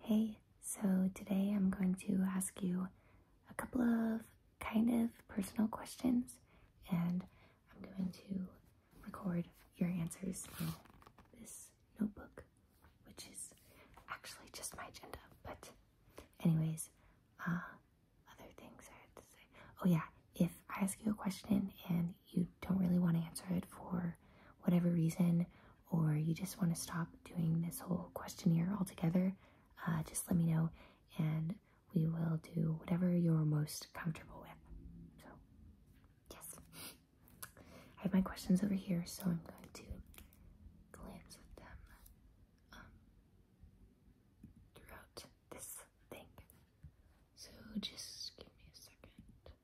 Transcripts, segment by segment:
Hey, so today I'm going to ask you a couple of kind of personal questions, and I'm going to record your answers in this notebook, which is actually just my agenda. But, anyways, uh, other things I had to say. Oh, yeah, if I ask you a question and you don't really want to answer it for whatever reason, or you just want to stop doing this whole questionnaire altogether, uh, just let me know and we will do whatever you're most comfortable with. So, yes. I have my questions over here, so I'm going to glance at them um, throughout this thing. So, just give me a second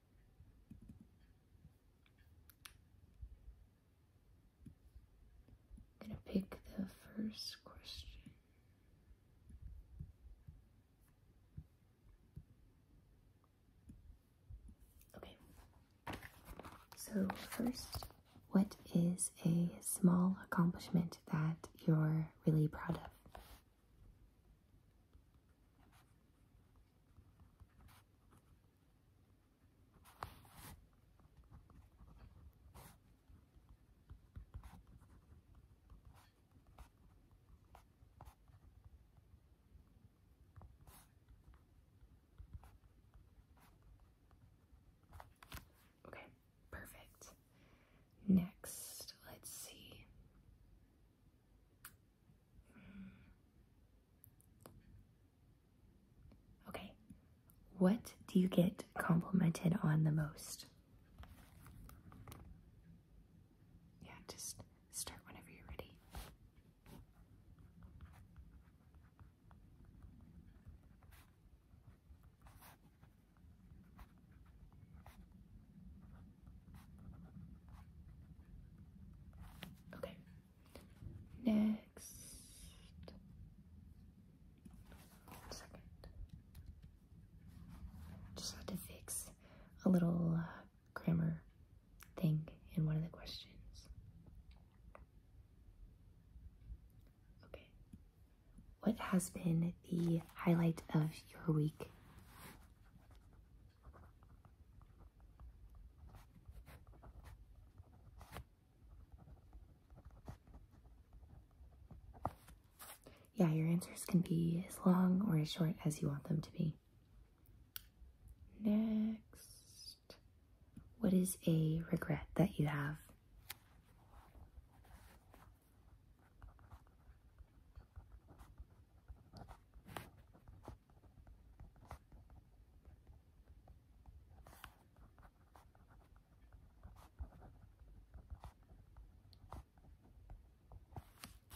going to pick the first question. Okay. So, first, what is a small accomplishment that you're really proud of? Okay, perfect. Next, let's see. Okay, what do you get complimented on the most? Yeah, just start whenever you're ready. Okay. Next. Just had to fix a little uh, grammar thing in one of the questions. Okay. What has been the highlight of your week? Yeah, your answers can be as long or as short as you want them to be. Next, what is a regret that you have?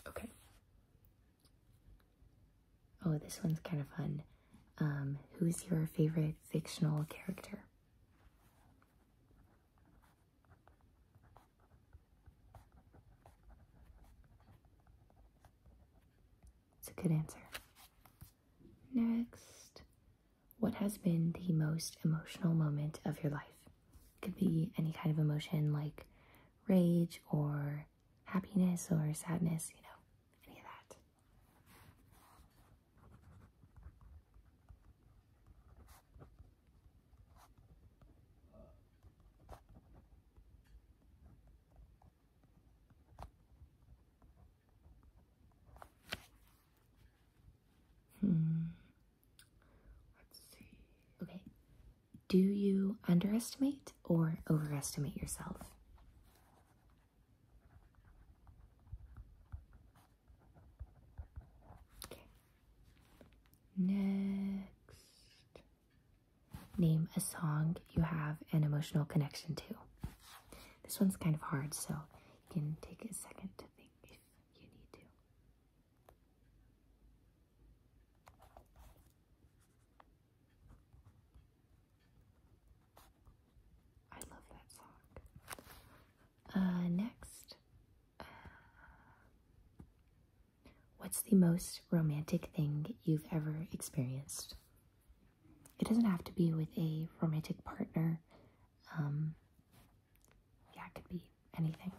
Okay. Oh, this one's kind of fun. Um, who's your favorite fictional character? It's a good answer. Next, what has been the most emotional moment of your life? It could be any kind of emotion like rage or happiness or sadness, you know, any of that. Hmm. Let's see. Okay. Do you underestimate or overestimate yourself? Okay. Next. Name a song you have an emotional connection to. This one's kind of hard, so you can take a second to think if you need to. I love that song. Uh, next, uh, What's the most romantic thing you've ever experienced? It doesn't have to be with a romantic partner. Um, yeah, it could be anything.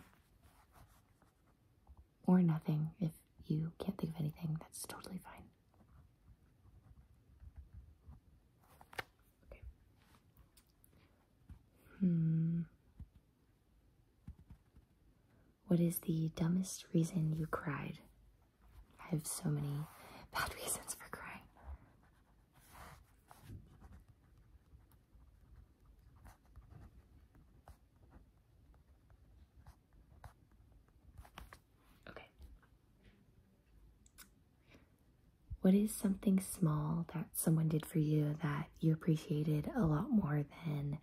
Or nothing. If you can't think of anything, that's totally fine. Hmm. What is the dumbest reason you cried? I have so many bad reasons for crying. Okay. What is something small that someone did for you that you appreciated a lot more than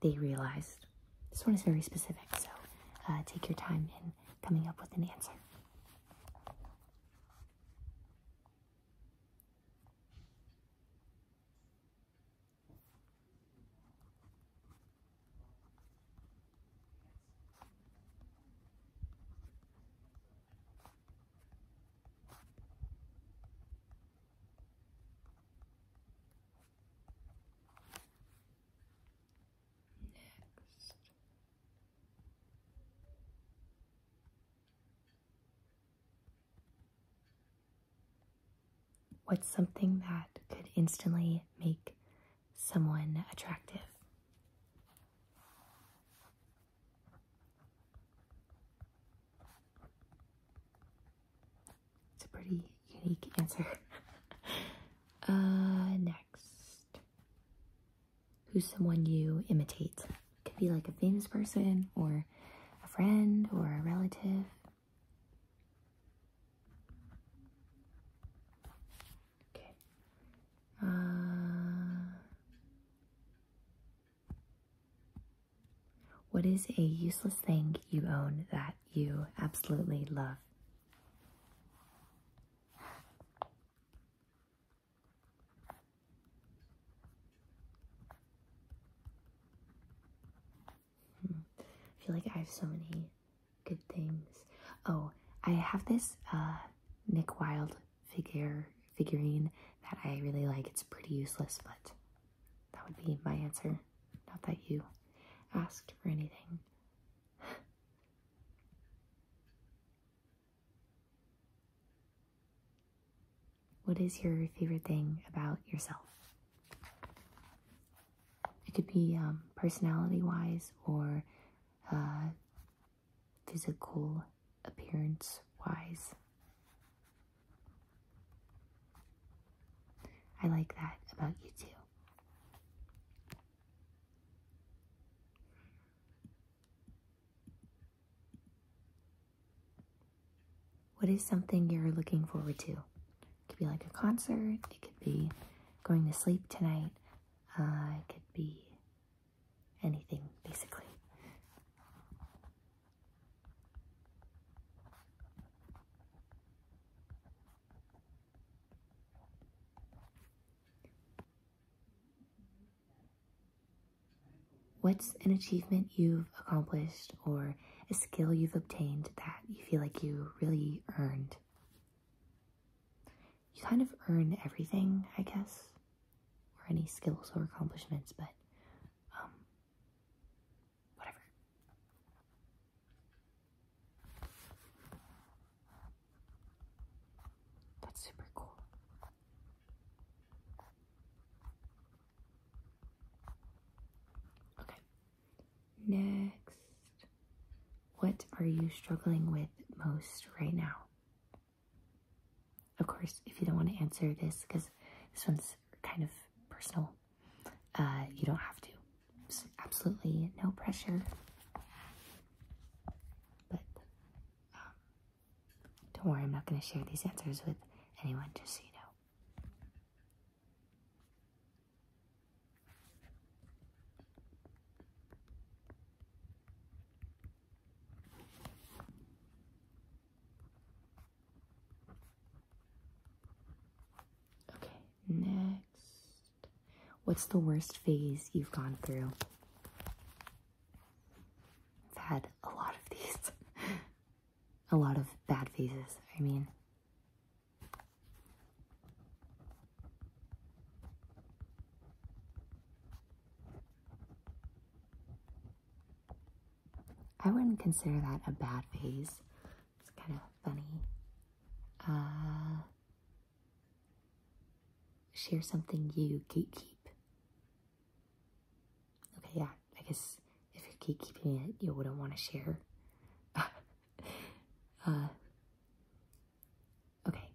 they realized. This one is very specific, so uh, take your time in coming up with an answer. Next. What's something that could instantly make someone attractive? It's a pretty unique answer. uh, next. Who's someone you imitate? Could be like a famous person or a friend or a relative. Okay. Uh, what is a useless thing you own that you absolutely love? Hmm. I feel like I have so many good things. Oh, I have this uh, Nick Wilde figure figurine that I really like. It's pretty useless, but that would be my answer. Not that you asked for anything. what is your favorite thing about yourself? It could be um, personality wise or uh, physical appearance wise. I like that about you too. What is something you're looking forward to? It could be like a concert, it could be going to sleep tonight, uh, it could be anything basically. What's an achievement you've accomplished or a skill you've obtained that you feel like you really earned? You kind of earn everything, I guess, or any skills or accomplishments, but um, whatever. That's super cool. Okay. Next, what are you struggling with most right now? Of course, if you don't want to answer this, because this one's kind of personal, uh, you don't have to. absolutely no pressure. But um, don't worry, I'm not going to share these answers with anyone, just so you know. Okay, next. What's the worst phase you've gone through? I've had a lot of these. a lot of bad phases, I mean. I wouldn't consider that a bad phase. It's kind of funny. Uh, share something you gatekeep. Okay, yeah, I guess if you're gatekeeping it, you wouldn't want to share. Uh, okay,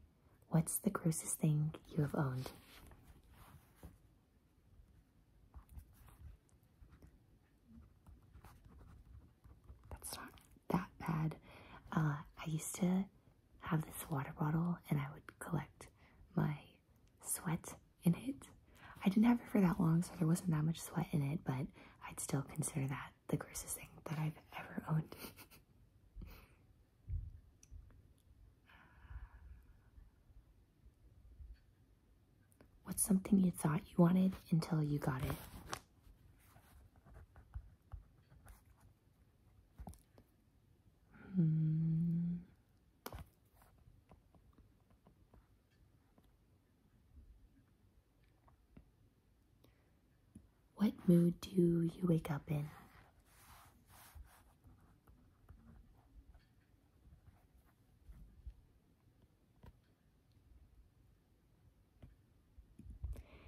what's the grossest thing you have owned? That's not that bad. Uh, I used to have this water bottle and I would collect my sweat in it. I didn't have it for that long, so there wasn't that much sweat in it, but I'd still consider that the grossest thing that I've ever owned. What's something you thought you wanted until you got it? Hmm. What mood do you wake up in?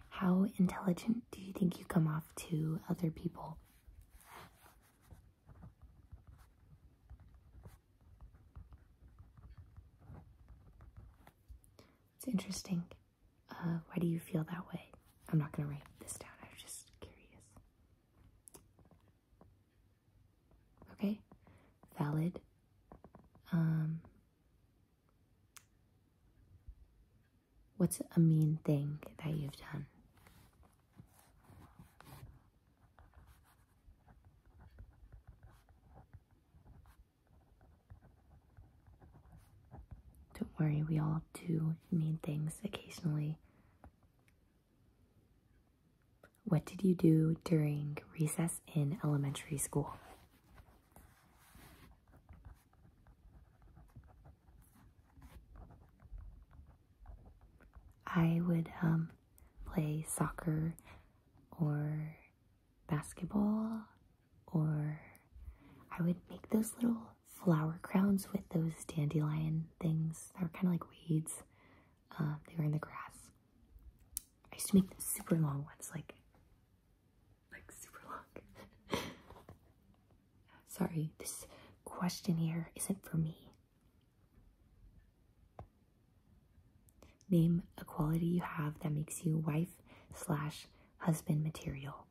How intelligent do you think you come off to other people? It's interesting. Uh, why do you feel that way? I'm not going to write this down. I am just curious. Okay. Valid. Um, what's a mean thing that you've done? Don't worry, we all do mean things occasionally. What did you do during recess in elementary school? I would um, play soccer or basketball, or I would make those little flower crowns with those dandelion things that were kind of like weeds. Um, they were in the grass. I used to make them super long ones, like like super long. Sorry, this question here isn't for me. Name a quality you have that makes you wife slash husband material.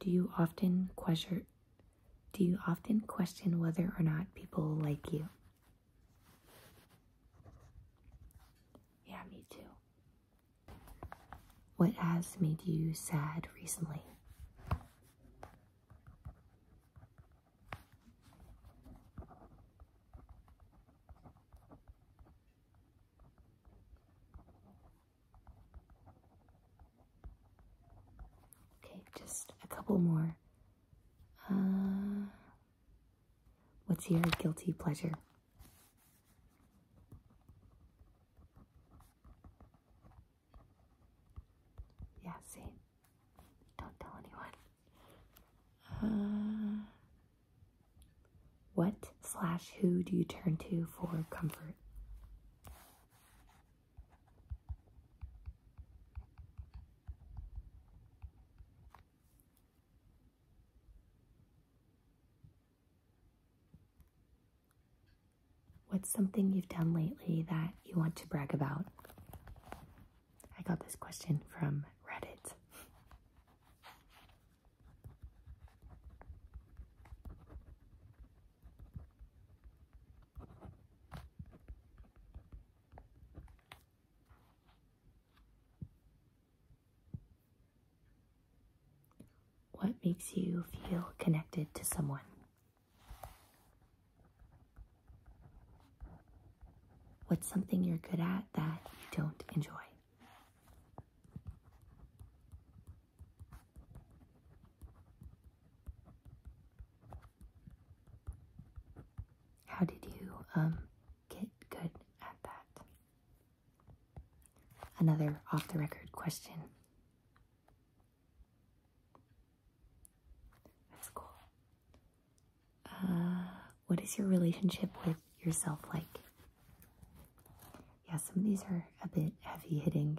Do you often question do you often question whether or not people like you? Yeah, me too. What has made you sad recently? Okay, just a couple more. Uh, what's your guilty pleasure? Yeah, see? Don't tell anyone. Uh, what slash who do you turn to for comfort? What's something you've done lately that you want to brag about? I got this question from Reddit. What makes you feel connected to someone? What's something you're good at that you don't enjoy? How did you um, get good at that? Another off the record question. That's cool. Uh, what is your relationship with yourself like? Yeah, some of these are a bit heavy hitting.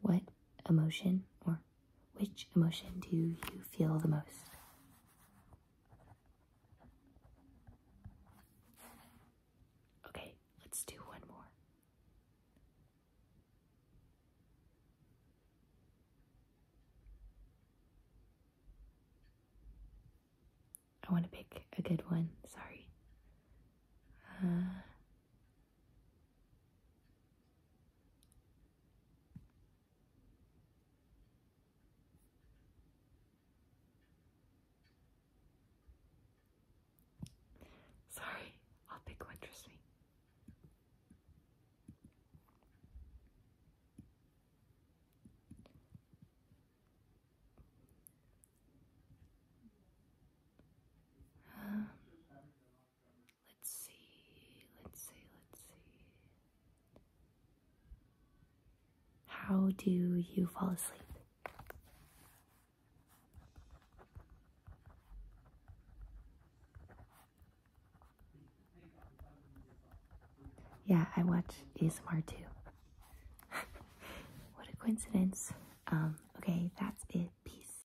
What emotion or which emotion do you feel the most? Okay, let's do one more. I want to pick a good one, sorry. Uh, Sorry, I'll pick what Let's see, let's see, let's see. How do you fall asleep? Yeah, I watch ASMR too. what a coincidence. Um, okay, that's it. Peace.